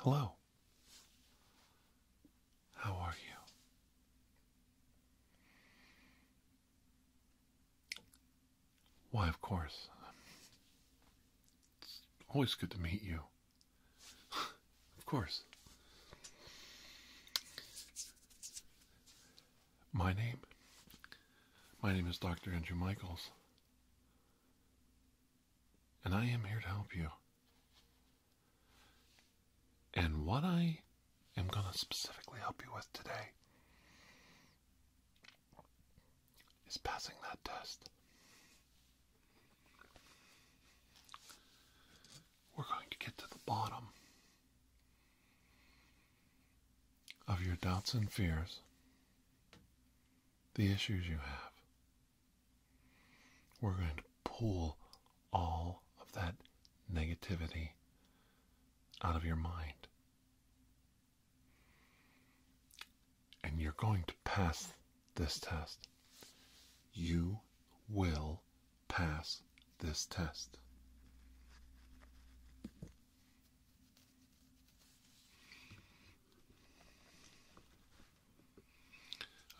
Hello. How are you? Why, of course. It's always good to meet you. Of course. My name? My name is Dr. Andrew Michaels. And I am here to help you. And what I am going to specifically help you with today is passing that test we're going to get to the bottom of your doubts and fears, the issues you have. We're going to pull all of that negativity out of your mind. And you're going to pass this test. You will pass this test.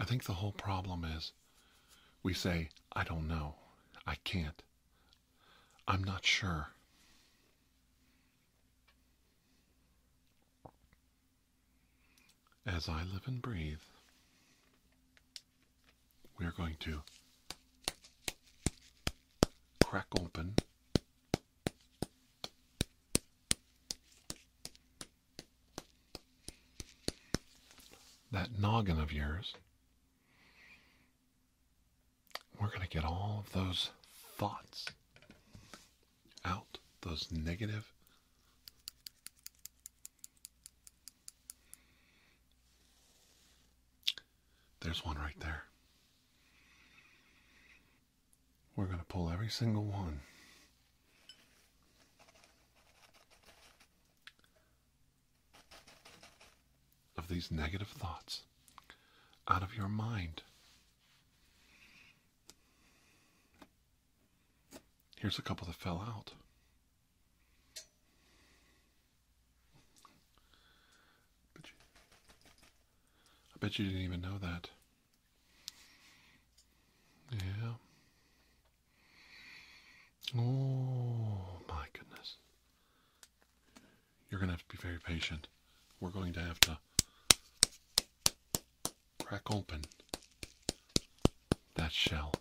I think the whole problem is we say, I don't know, I can't, I'm not sure as I live and breathe, we are going to crack open that noggin of yours. We're going to get all of those thoughts out, those negative there's one right there. We're going to pull every single one. Of these negative thoughts out of your mind. Here's a couple that fell out. I bet you, didn't even know that. Yeah. Oh my goodness. You're going to have to be very patient. We're going to have to crack open that shell.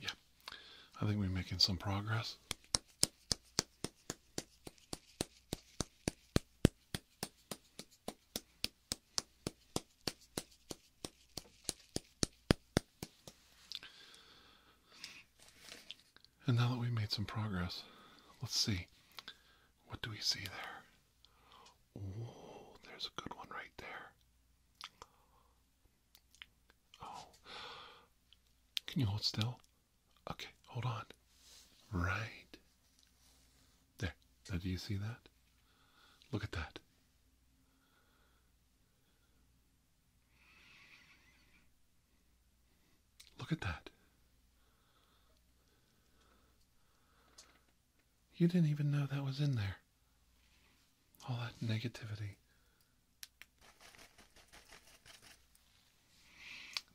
Yeah, I think we're making some progress. And now that we've made some progress, let's see. What do we see there? Oh, there's a good one right there. Oh. Can you hold still? Okay, hold on. Right. There. Now, do you see that? Look at that. Look at that. You didn't even know that was in there. All that negativity.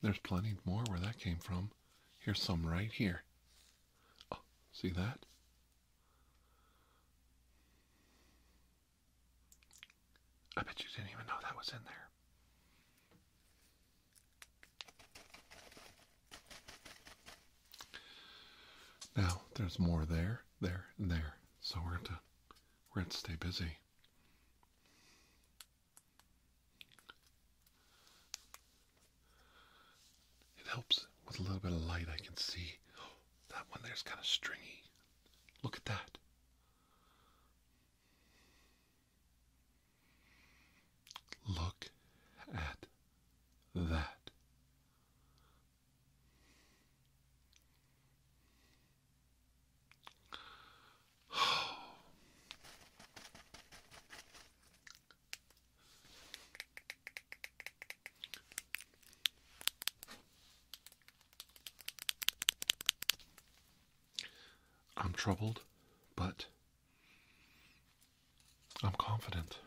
There's plenty more where that came from. Here's some right here. Oh, see that? I bet you didn't even know that was in there. Now there's more there, there, and there. So we're to we're to stay busy. It helps with a little bit of light. I can see that one there's kind of stringy. Look at that. Look at that. I'm troubled, but I'm confident.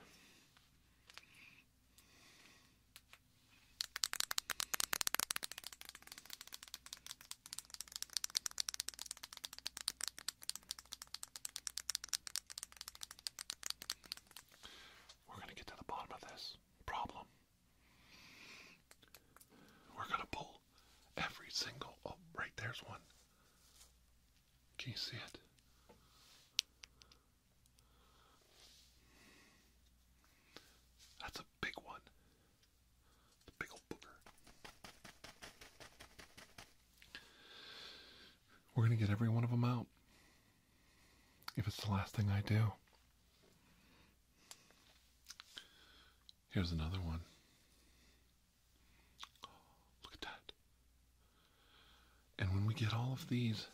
We're going to get to the bottom of this problem. We're going to pull every single. Oh, right there's one. Can you see it? That's a big one. big old booger. We're going to get every one of them out. If it's the last thing I do. Here's another one. Oh, look at that. And when we get all of these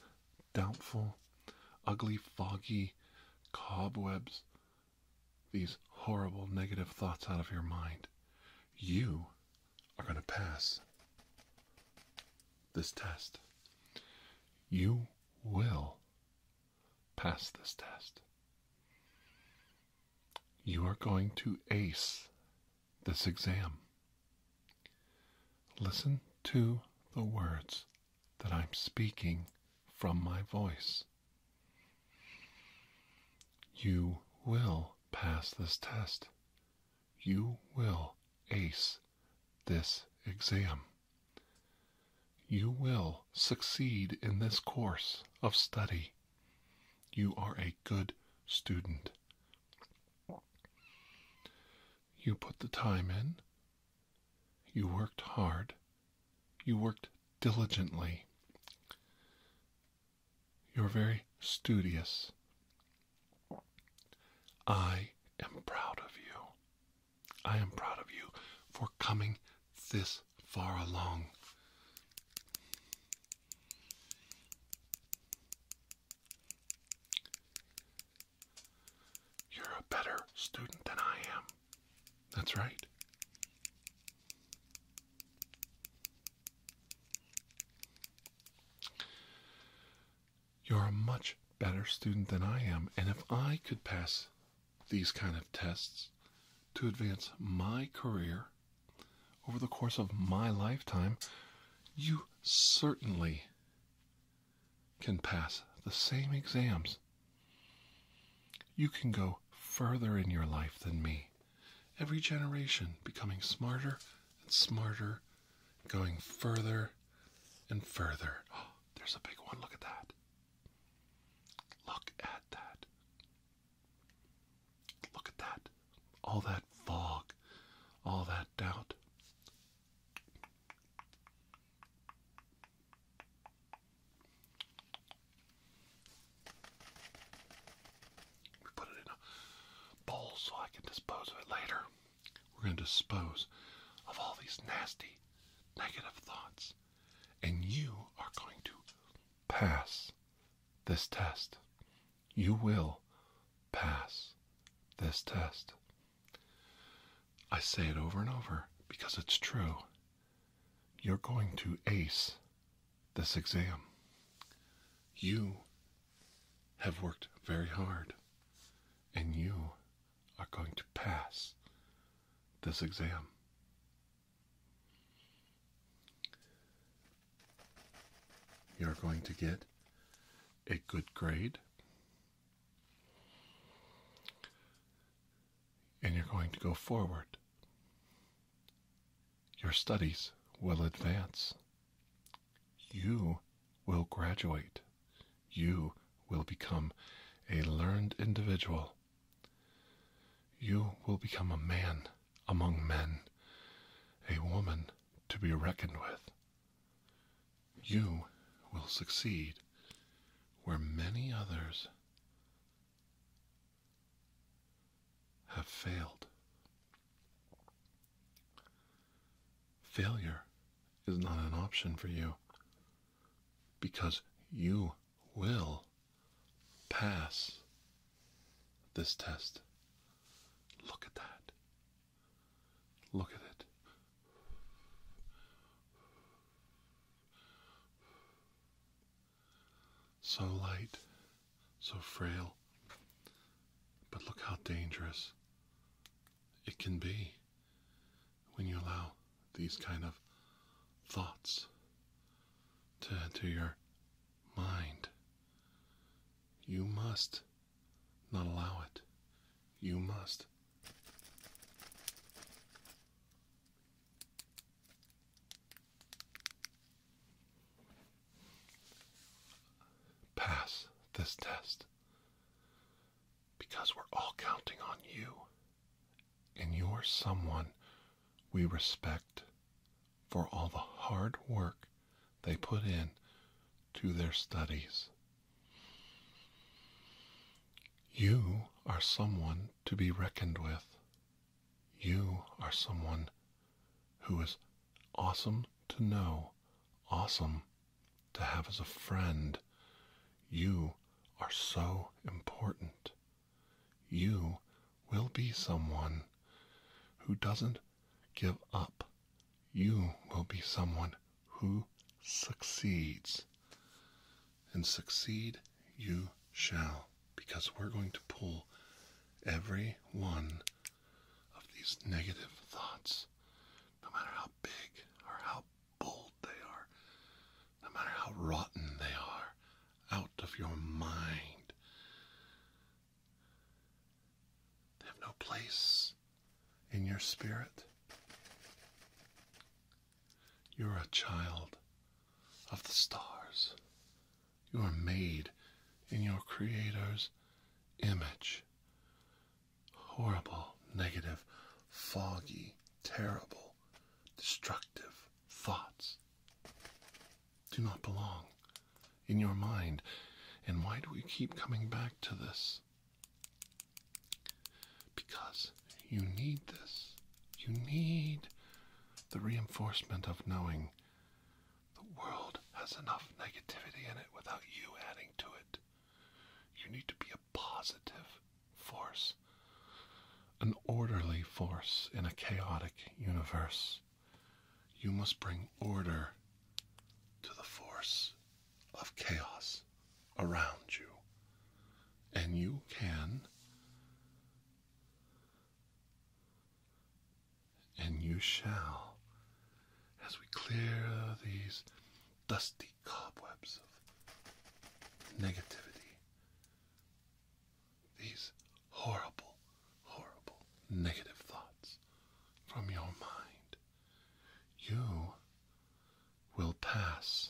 doubtful, ugly, foggy cobwebs, these horrible negative thoughts out of your mind, you are going to pass this test. You will pass this test. You are going to ace this exam. Listen to the words that I'm speaking from my voice. You will pass this test. You will ace this exam. You will succeed in this course of study. You are a good student. You put the time in. You worked hard. You worked diligently. You're very studious. I am proud of you. I am proud of you for coming this far along. You're a better student than I am. That's right. You're a much better student than I am, and if I could pass these kind of tests to advance my career over the course of my lifetime, you certainly can pass the same exams. You can go further in your life than me. Every generation becoming smarter and smarter, going further and further. there's a big one. Look at that. Look at that. Look at that. All that fog, all that doubt. We put it in a bowl so I can dispose of it later. We're going to dispose of all these nasty negative thoughts, and you are going to pass this test. You will pass this test. I say it over and over because it's true. You're going to ace this exam. You have worked very hard and you are going to pass this exam. You're going to get a good grade, and you're going to go forward. Your studies will advance. You will graduate. You will become a learned individual you will become a man among men, a woman to be reckoned with. You will succeed where many others have failed. Failure is not an option for you because you will pass this test. Look at that. Look at it. So light, so frail, but look how dangerous it can be when you allow these kind of thoughts to enter your mind. You must not allow it. You must. Pass this test because we're all counting on you, and you're someone we respect for all the hard work they put in to their studies. You are someone to be reckoned with. You are someone who is awesome to know, awesome to have as a friend. You are so important you will be someone who doesn't give up. You will be someone who succeeds. And succeed you shall, because we're going to pull every one of these negative thoughts, no matter how big or how bold they are, no matter how rotten they are, out of your mind. They have no place in your spirit. You're a child of the stars. You are made in your Creator's image. Horrible, negative, foggy, terrible, destructive thoughts do not belong in your mind. And why do we keep coming back to this? Because you need this. You need the reinforcement of knowing the world has enough negativity in it without you adding to it. You need to be a positive force an orderly force in a chaotic universe. You must bring order to the force of chaos around you. And you can. And you shall, as we clear these dusty cobwebs of negativity, these horrible, horrible negative thoughts from your mind. You will pass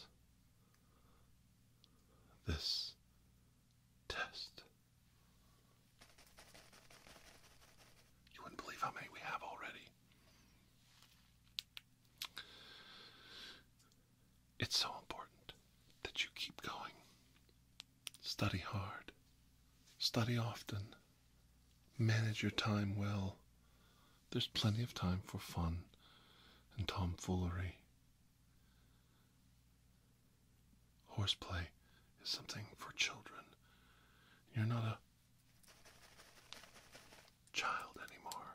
this test. You wouldn't believe how many we have already. It's so important that you keep going. Study hard, study often, manage your time well. There's plenty of time for fun and tomfoolery. Horseplay is something for children. You're not a child anymore.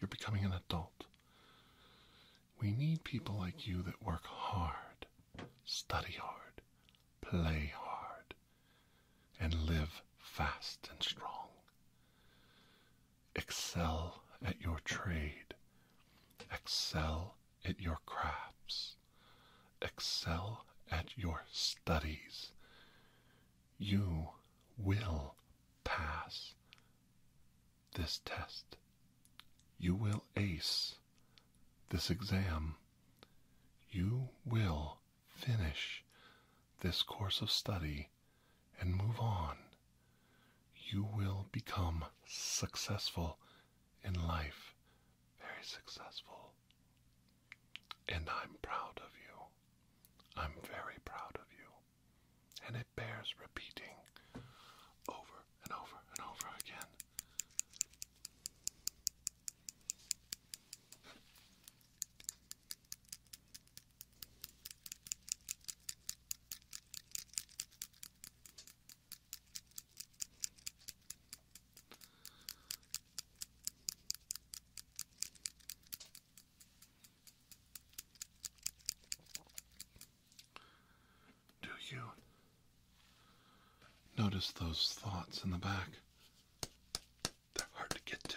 You're becoming an adult. We need people like you that work hard, study hard, play hard, and live fast and strong. Excel at your trade, excel at your crafts, excel at your studies. You will pass this test. You will ace this exam. You will finish this course of study and move on. You will become successful in life, very successful. And I'm proud of you. I'm very proud of you bears repeating over and over and over again. Do you notice those thoughts in the back? They're hard to get to.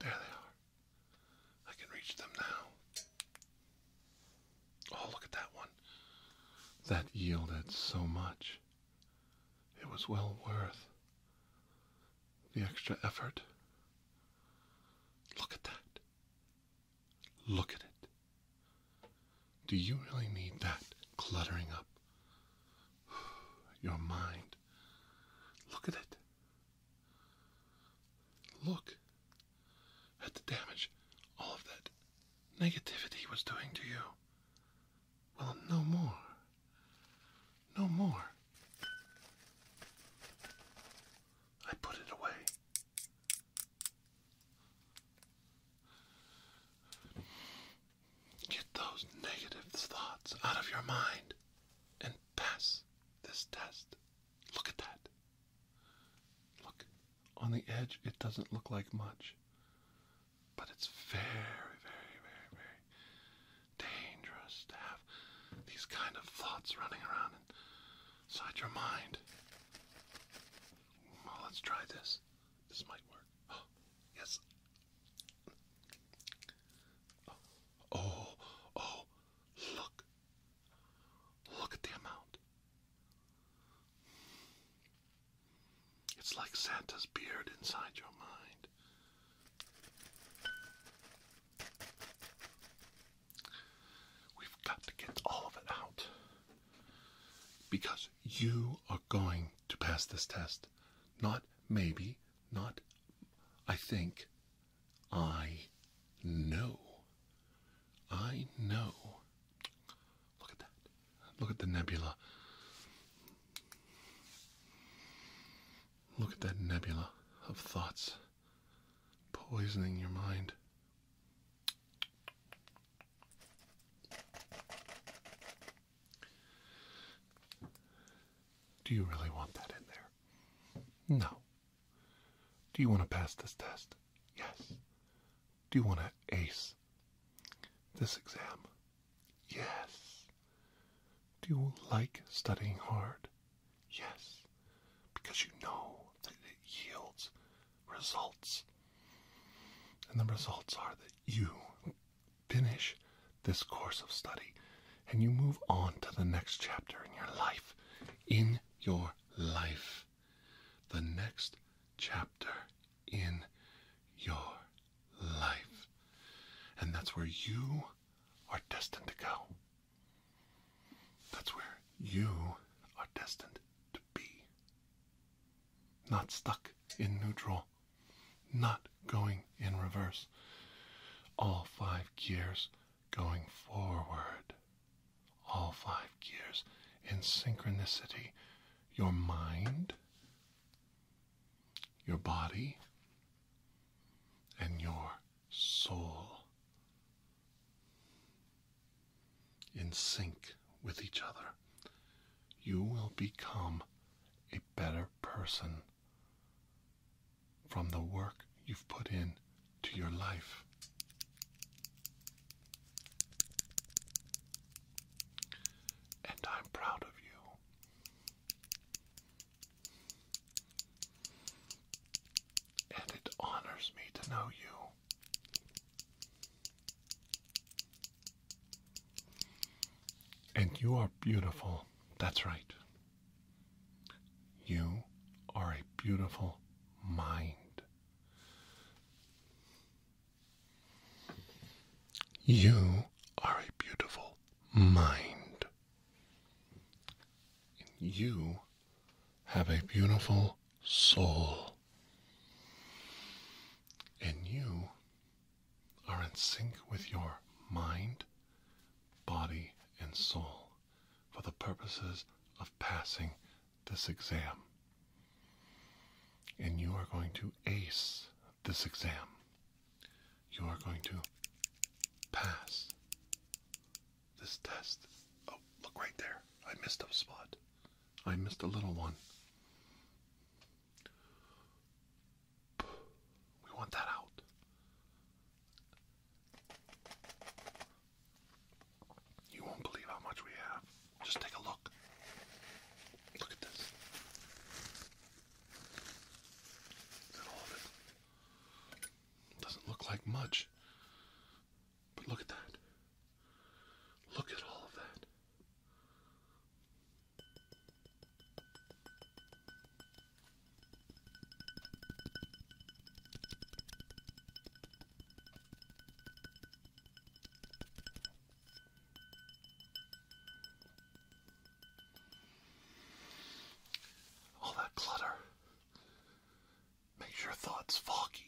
There they are. I can reach them now. Oh, look at that one. That yielded so much. It was well worth the extra effort. Look at that. Look at it. Do you really need that cluttering up your mind? Look at it. Look at the damage all of that negativity was doing to you. Well, no more. No more. I put it away. Get those negative thoughts out of your mind and pass this test. Look at that. Look, on the edge it doesn't look like much, but it's very, very, very, very dangerous to have these kind of thoughts running around inside your mind. Well, let's try this. This might work. Oh. Yes. Oh, oh, oh, look. Look at the amount. It's like Santa's beard inside your mind. We've got to get all of it out. Because you are going to pass this test. Not maybe, not I think. I know. I know. Look at that. Look at the nebula. Look at that nebula of thoughts poisoning your mind. Do you really want that in there? No. Do you want to pass this test? Yes. Do you want to ace this exam? Yes. Do you like studying hard? Yes. Because you know that it yields results. And the results are that you finish this course of study and you move on to the next chapter in your life. In your life. The next chapter in your life. And that's where you are destined to go. That's where you are destined to be. Not stuck in neutral not going in reverse. All five gears going forward. All five gears in synchronicity. Your mind, your body, and your soul in sync with each other. You will become a better person from the work you've put in to your life. And I'm proud of you. And it honors me to know you. And you are beautiful. That's right. You are a beautiful mind. You are a beautiful mind. You have a beautiful soul. And you are in sync with your mind, body, and soul for the purposes of passing this exam. And you are going to ace this exam. You are going to pass this test. Oh, look right there. I missed a spot. I missed a little one. We want that out. You won't believe how much we have. Just take a look. Look at this. Is all of it? Doesn't look like much. But look at that. Look at all of that. All that clutter makes your thoughts foggy,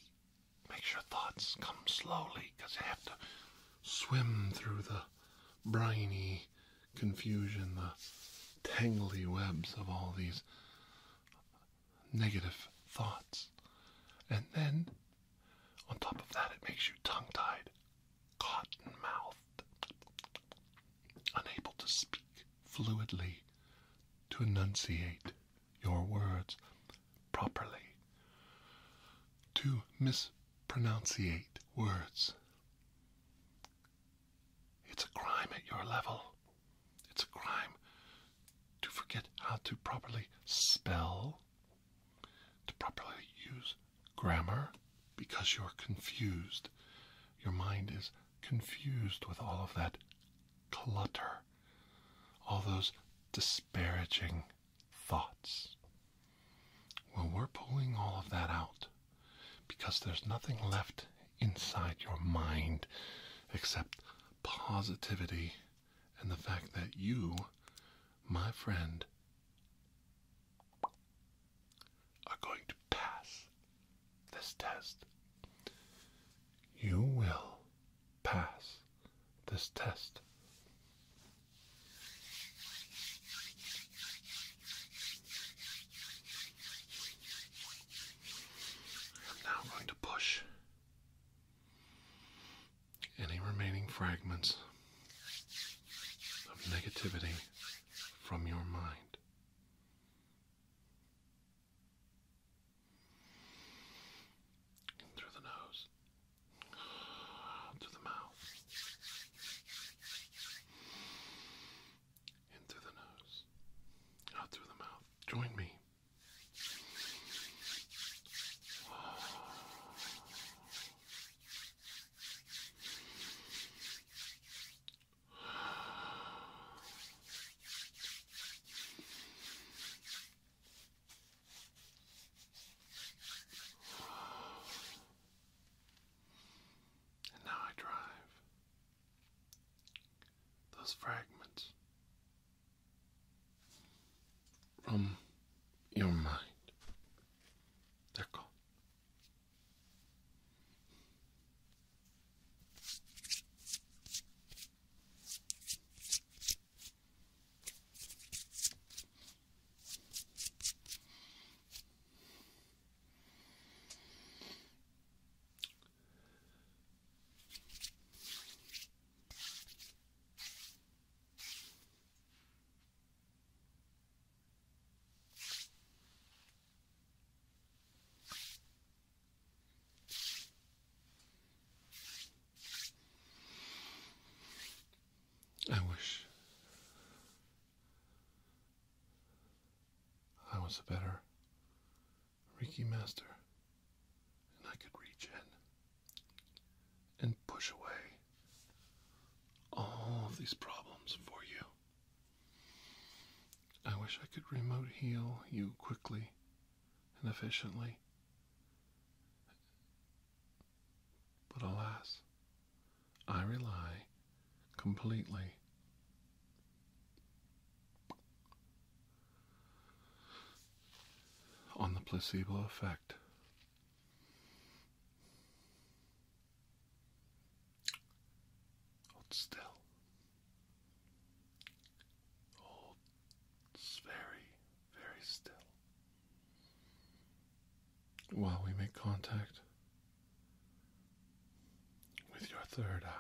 makes your thoughts come slowly because you have to swim through the briny confusion, the tangly webs of all these negative thoughts. And then, on top of that, it makes you tongue tied, cotton mouthed, unable to speak fluidly, to enunciate your words properly, to mispronounce Pronounce pronunciate words. It's a crime at your level. It's a crime to forget how to properly spell, to properly use grammar, because you're confused. Your mind is confused with all of that clutter, all those disparaging thoughts. Well, we're pulling all of that out because there's nothing left inside your mind except positivity and the fact that you, my friend, are going to pass this test. You will pass this test. I'm going to push any remaining fragments of negativity from your mind. through the nose to the mouth, into the nose, out through the mouth. Join me. And now I drive. Those fragments from your mind. They're gone. I wish I was a better Reiki master, and I could reach in and push away all these problems for you. I wish I could remote heal you quickly and efficiently. But alas, I rely completely on the placebo effect. Hold still. Hold very, very still while we make contact with your third eye.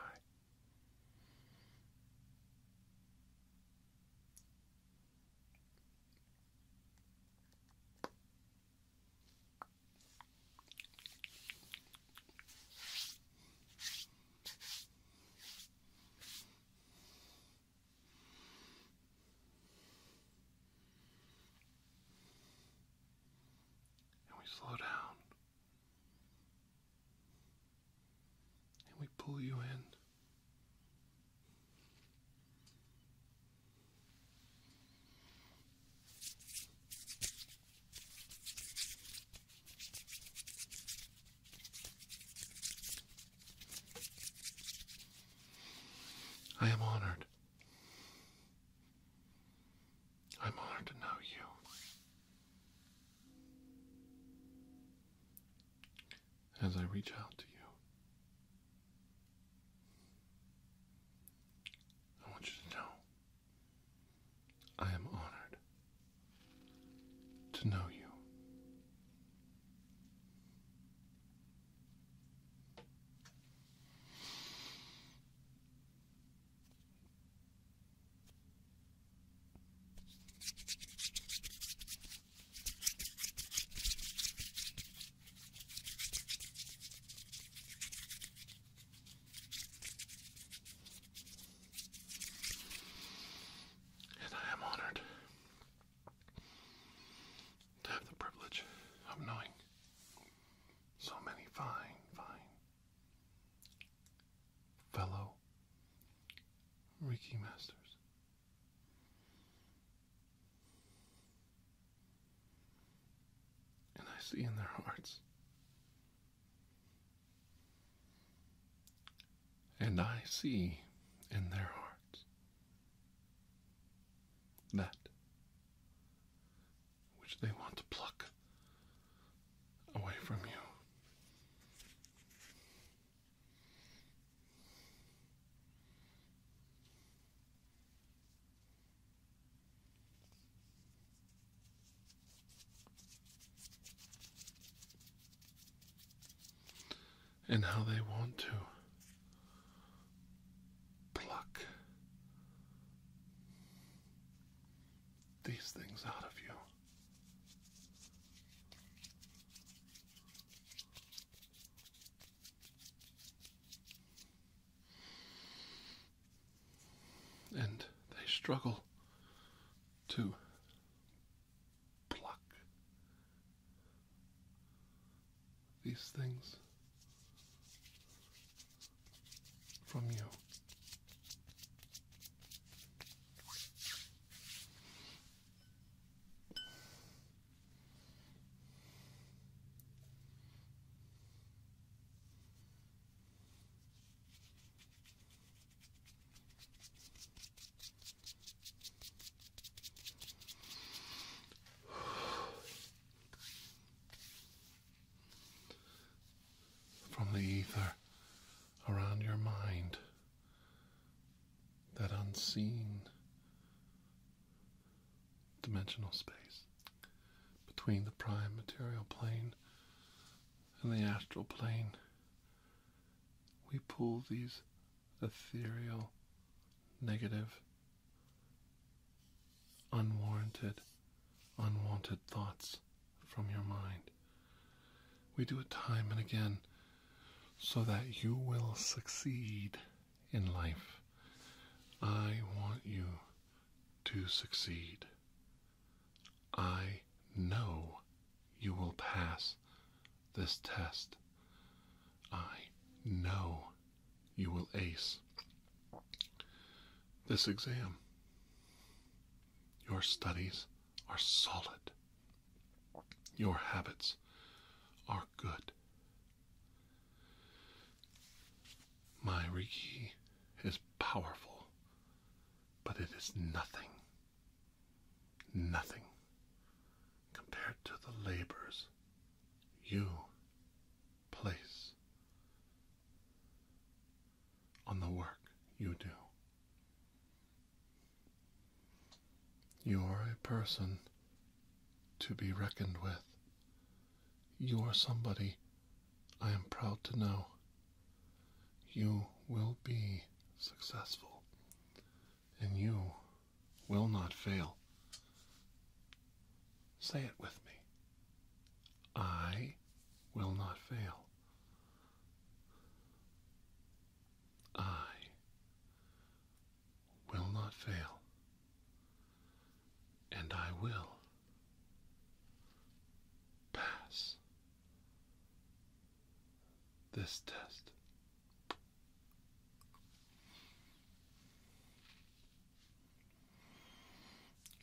And we slow down. And we pull you in. I am honored I'm honored to know you. As I reach out to you, I want you to know I am honored to know you. And I am honored to have the privilege of knowing so many fine, fine fellow Reiki masters. And I see in their hearts. And I see in their hearts that which they want to pluck away from you. And how they want to pluck these things out of you. And they struggle to pluck these things from you from the ether around your mind, that unseen dimensional space between the prime material plane and the astral plane. We pull these ethereal, negative unwarranted, unwanted thoughts from your mind. We do it time and again so that you will succeed in life. I want you to succeed. I know you will pass this test. I know you will ace this exam. Your studies are solid. Your habits are good. My riki is powerful, but it is nothing, nothing compared to the labors you place on the work you do. You are a person to be reckoned with. You are somebody I am proud to know. You will be successful, and you will not fail. Say it with me. I will not fail. I will not fail. And I will pass this test.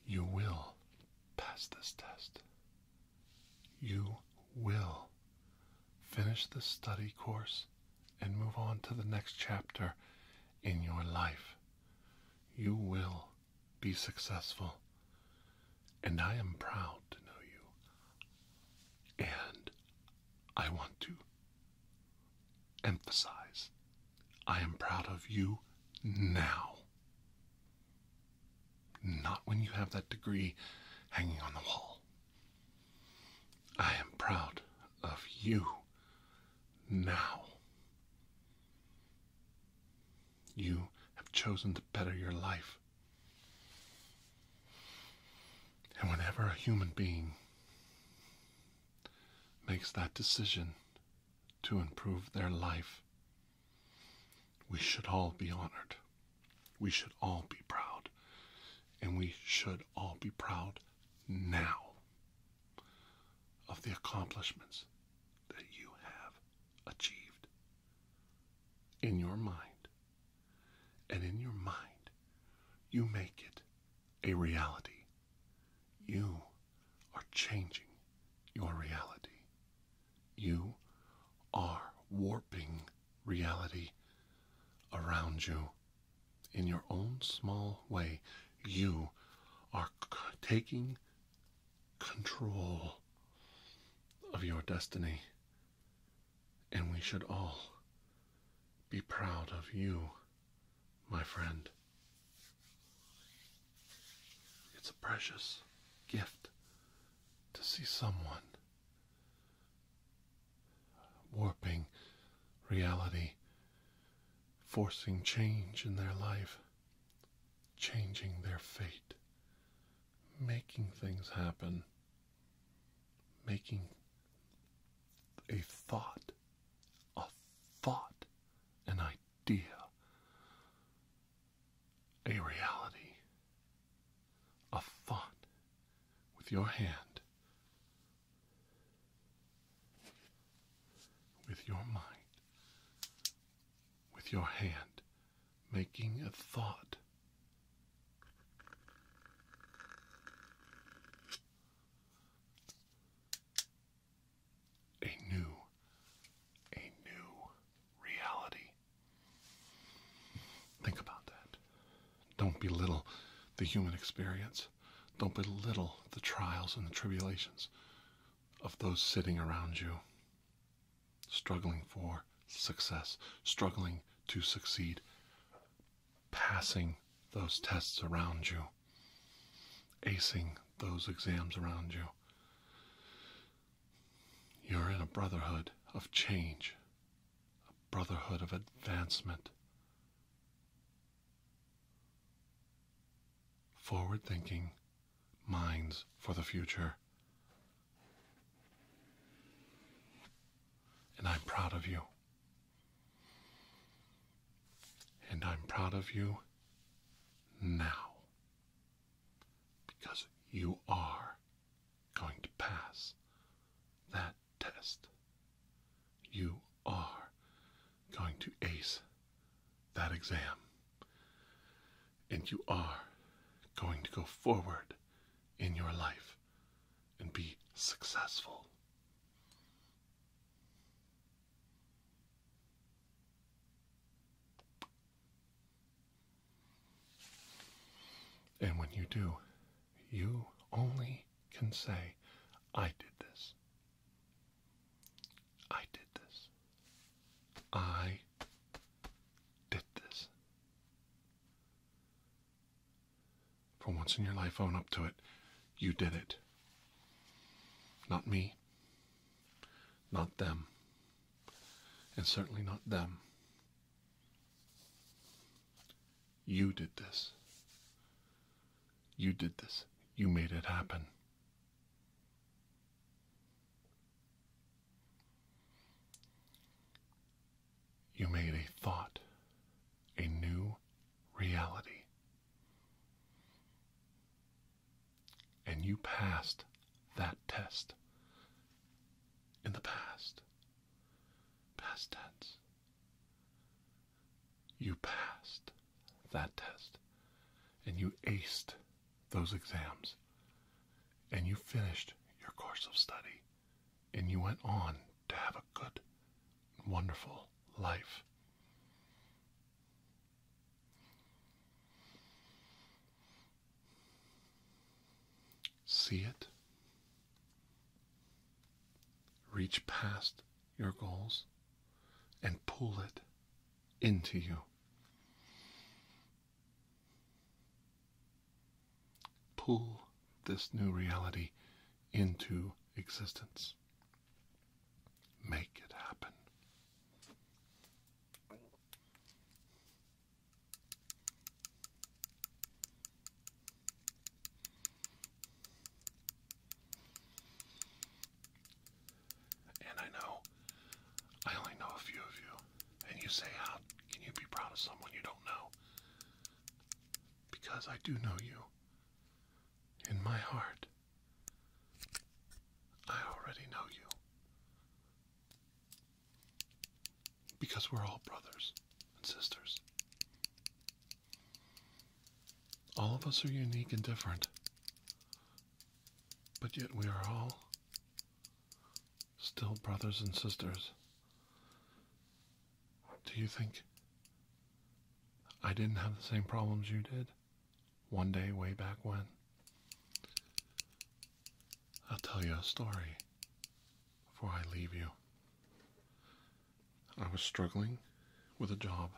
You will pass this test. You will finish the study course and move on to the next chapter in your life. You will be successful. And I am proud to know you. And I want to Emphasize, I am proud of you now. Not when you have that degree hanging on the wall. I am proud of you now. You have chosen to better your life. And whenever a human being makes that decision to improve their life, we should all be honored. We should all be proud. And we should all be proud now of the accomplishments that you have achieved in your mind. And in your mind, you make it a reality. You are changing your reality. You are warping reality around you in your own small way. You are taking control of your destiny, and we should all be proud of you my friend. It's a precious gift to see someone warping reality, forcing change in their life, changing their fate, making things happen, making a thought a thought, an idea, a reality, a thought with your hand, with your mind, with your hand, making a thought a new, a new reality. Think about that. Don't belittle the human experience. Don't belittle the trials and the tribulations of those sitting around you, struggling for success, struggling to succeed passing those tests around you, acing those exams around you. You're in a brotherhood of change, a brotherhood of advancement. Forward thinking minds for the future. And I'm proud of you. And I'm proud of you now because you are going to pass that test. You are going to ace that exam. And you are going to go forward in your life and be successful. And when you do, you only can say, I did this. I did this. I did this. For once in your life, own up to it. You did it. Not me. Not them. And certainly not them. You did this. You did this. You made it happen. You made a thought, a new reality. And you passed that test in the past. Past tense. You passed that test and you aced those exams and you finished your course of study and you went on to have a good wonderful life. See it. Reach past your goals and pull it into you. Pull this new reality into existence. Make it happen. And I know I only know a few of you. And you say, How can you be proud of someone you don't know? Because I do know you. In my heart, I already know you. Because we're all brothers and sisters. All of us are unique and different, but yet we are all still brothers and sisters do you think I didn't have the same problems you did one day way back when? I'll tell you a story before I leave you. I was struggling with a job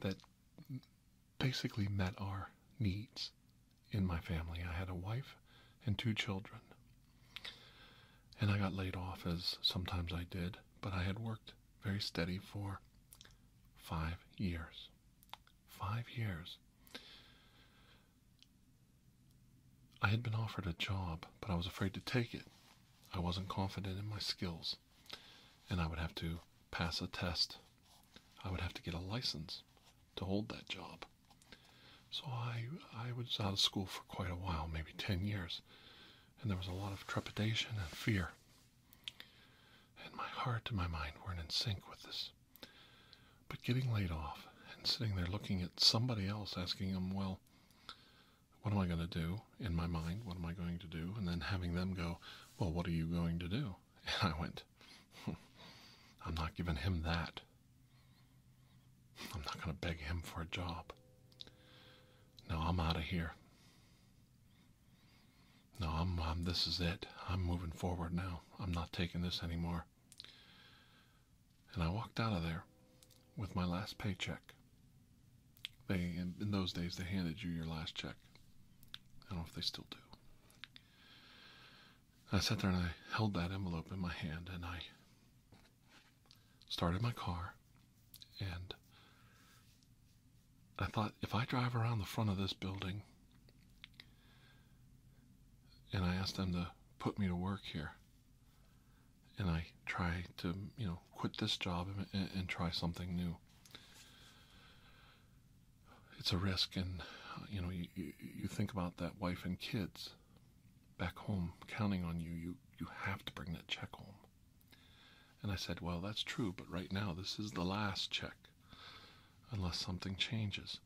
that basically met our needs in my family. I had a wife and two children. And I got laid off, as sometimes I did, but I had worked very steady for five years. Five years. I had been offered a job, but I was afraid to take it. I wasn't confident in my skills, and I would have to pass a test. I would have to get a license to hold that job. So I, I was out of school for quite a while, maybe 10 years and there was a lot of trepidation and fear. And my heart and my mind weren't in sync with this. But getting laid off and sitting there looking at somebody else, asking them, well, what am I going to do in my mind? What am I going to do? And then having them go, well, what are you going to do? And I went, I'm not giving him that. I'm not going to beg him for a job. No, I'm out of here. No, I'm, i um, this is it. I'm moving forward now. I'm not taking this anymore. And I walked out of there with my last paycheck. They in those days they handed you your last check. I don't know if they still do. I sat there and I held that envelope in my hand and I started my car, and I thought if I drive around the front of this building and I ask them to put me to work here, and I try to, you know, quit this job and, try something new. It's a risk, and you know, you, you think about that wife and kids back home counting on you. You you have to bring that check home. And I said, Well, that's true, but right now this is the last check unless something changes.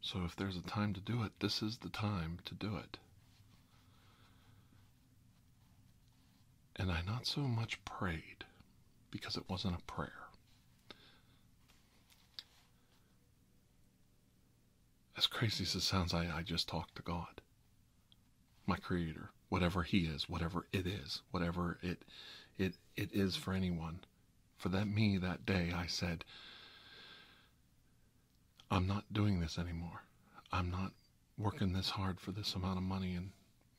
So if there's a time to do it, this is the time to do it. And I not so much prayed because it wasn't a prayer. As crazy as it sounds, I, I just talked to God my creator, whatever he is, whatever it is, whatever it it it is for anyone. For that me that day I said I'm not doing this anymore. I'm not working this hard for this amount of money and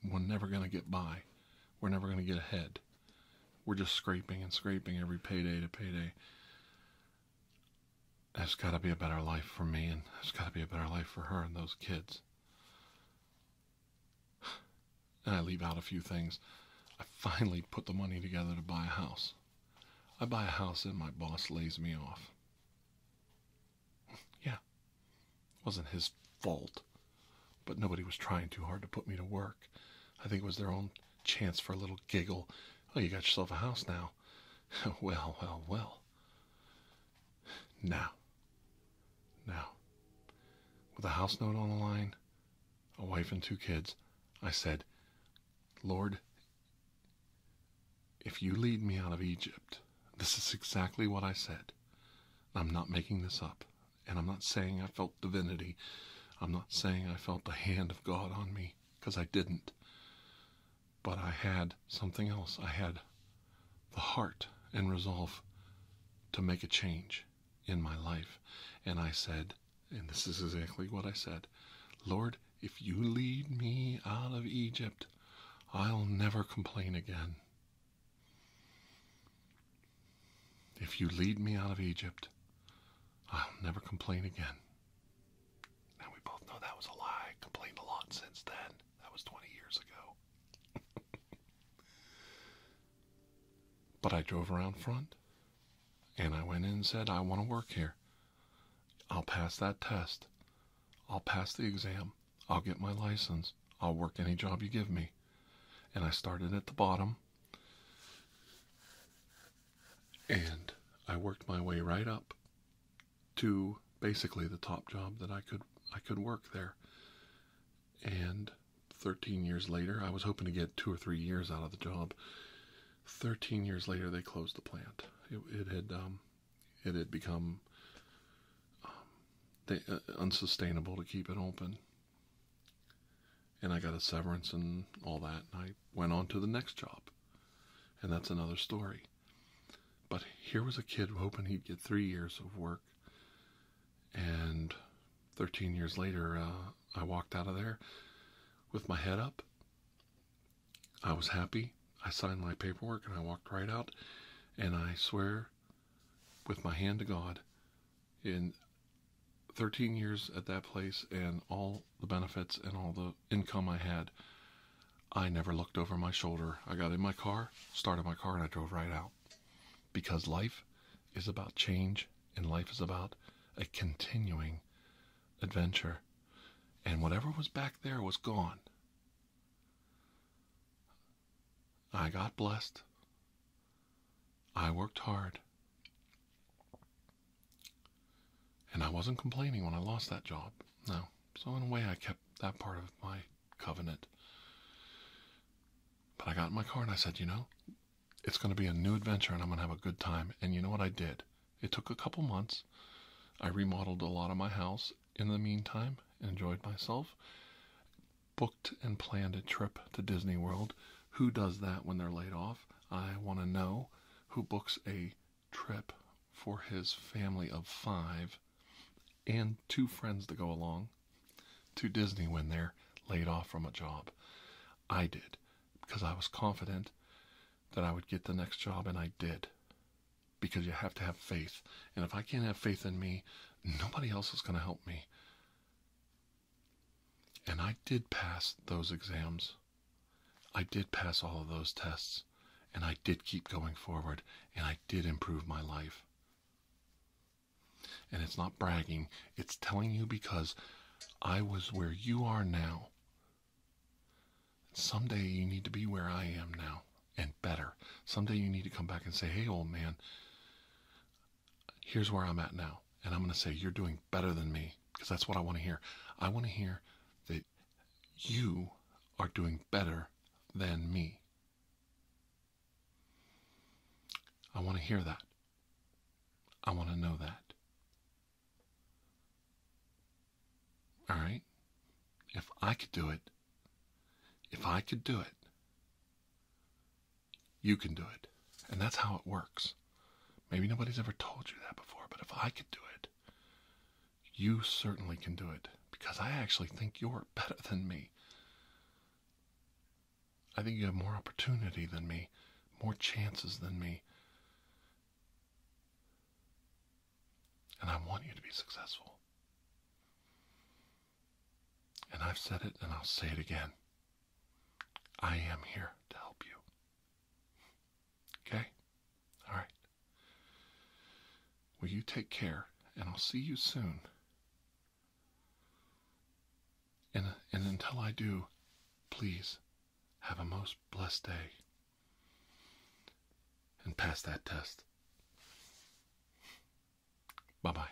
we're never going to get by. We're never going to get ahead. We're just scraping and scraping every payday to payday there's got to be a better life for me, and there's got to be a better life for her and those kids. And I leave out a few things. I finally put the money together to buy a house. I buy a house and my boss lays me off. yeah, it wasn't his fault, but nobody was trying too hard to put me to work. I think it was their own chance for a little giggle. Oh, you got yourself a house now. well, well, well. Now, now, with a house note on the line, a wife and two kids, I said, Lord, if you lead me out of Egypt, this is exactly what I said. I'm not making this up. And I'm not saying I felt divinity. I'm not saying I felt the hand of God on me, because I didn't. But I had something else. I had the heart and resolve to make a change in my life. And I said, and this is exactly what I said Lord, if you lead me out of Egypt, I'll never complain again. If you lead me out of Egypt, I'll never complain again. Now we both know that was a lie. Complained a lot since then. That was 20 years ago. but I drove around front and I went in and said, I want to work here. I'll pass that test. I'll pass the exam. I'll get my license. I'll work any job you give me. And I started at the bottom. And I worked my way right up to basically the top job that I could I could work there. And 13 years later, I was hoping to get two or three years out of the job. 13 years later, they closed the plant. It, had um, it had become um, uh, unsustainable to keep it open. And I got a severance and all that, and I went on to the next job. And that's another story. But here was a kid hoping he'd get three years of work. And 13 years later, uh, I walked out of there with my head up. I was happy. I signed my paperwork and I walked right out. And I swear with my hand to God, in 13 years at that place and all the benefits and all the income I had, I never looked over my shoulder. I got in my car, started my car, and I drove right out. Because life is about change and life is about a continuing adventure. And whatever was back there was gone. I got blessed. I worked hard. And I wasn't complaining when I lost that job. No. So, in a way, I kept that part of my covenant. But I got in my car and I said, you know, it's going to be a new adventure and I'm going to have a good time. And you know what I did? It took a couple months. I remodeled a lot of my house in the meantime, enjoyed myself, booked and planned a trip to Disney World. Who does that when they're laid off? I want to know who books a trip for his family of five and two friends to go along to Disney when they're laid off from a job. I did because I was confident that I would get the next job, and I did because you have to have faith. And if I can't have faith in me, nobody else is going to help me. And I did pass those exams. I did pass all of those tests, and I did keep going forward, and I did improve my life. And it's not bragging, it's telling you because I was where you are now. Someday you need to be where I am now and better. Someday you need to come back and say, hey, old man, here's where I'm at now. And I'm going to say, you're doing better than me because that's what I want to hear. I want to hear that you are doing better than me. I want to hear that. I want to know that. All right? If I could do it, if I could do it, you can do it. And that's how it works. Maybe nobody's ever told you that before, but if I could do it, you certainly can do it because I actually think you're better than me. I think you have more opportunity than me, more chances than me. And I want you to be successful. And I've said it and I'll say it again. I am here to help you. Okay? All right. Will you take care, and I'll see you soon. And, and until I do, please have a most blessed day and pass that test. Bye bye.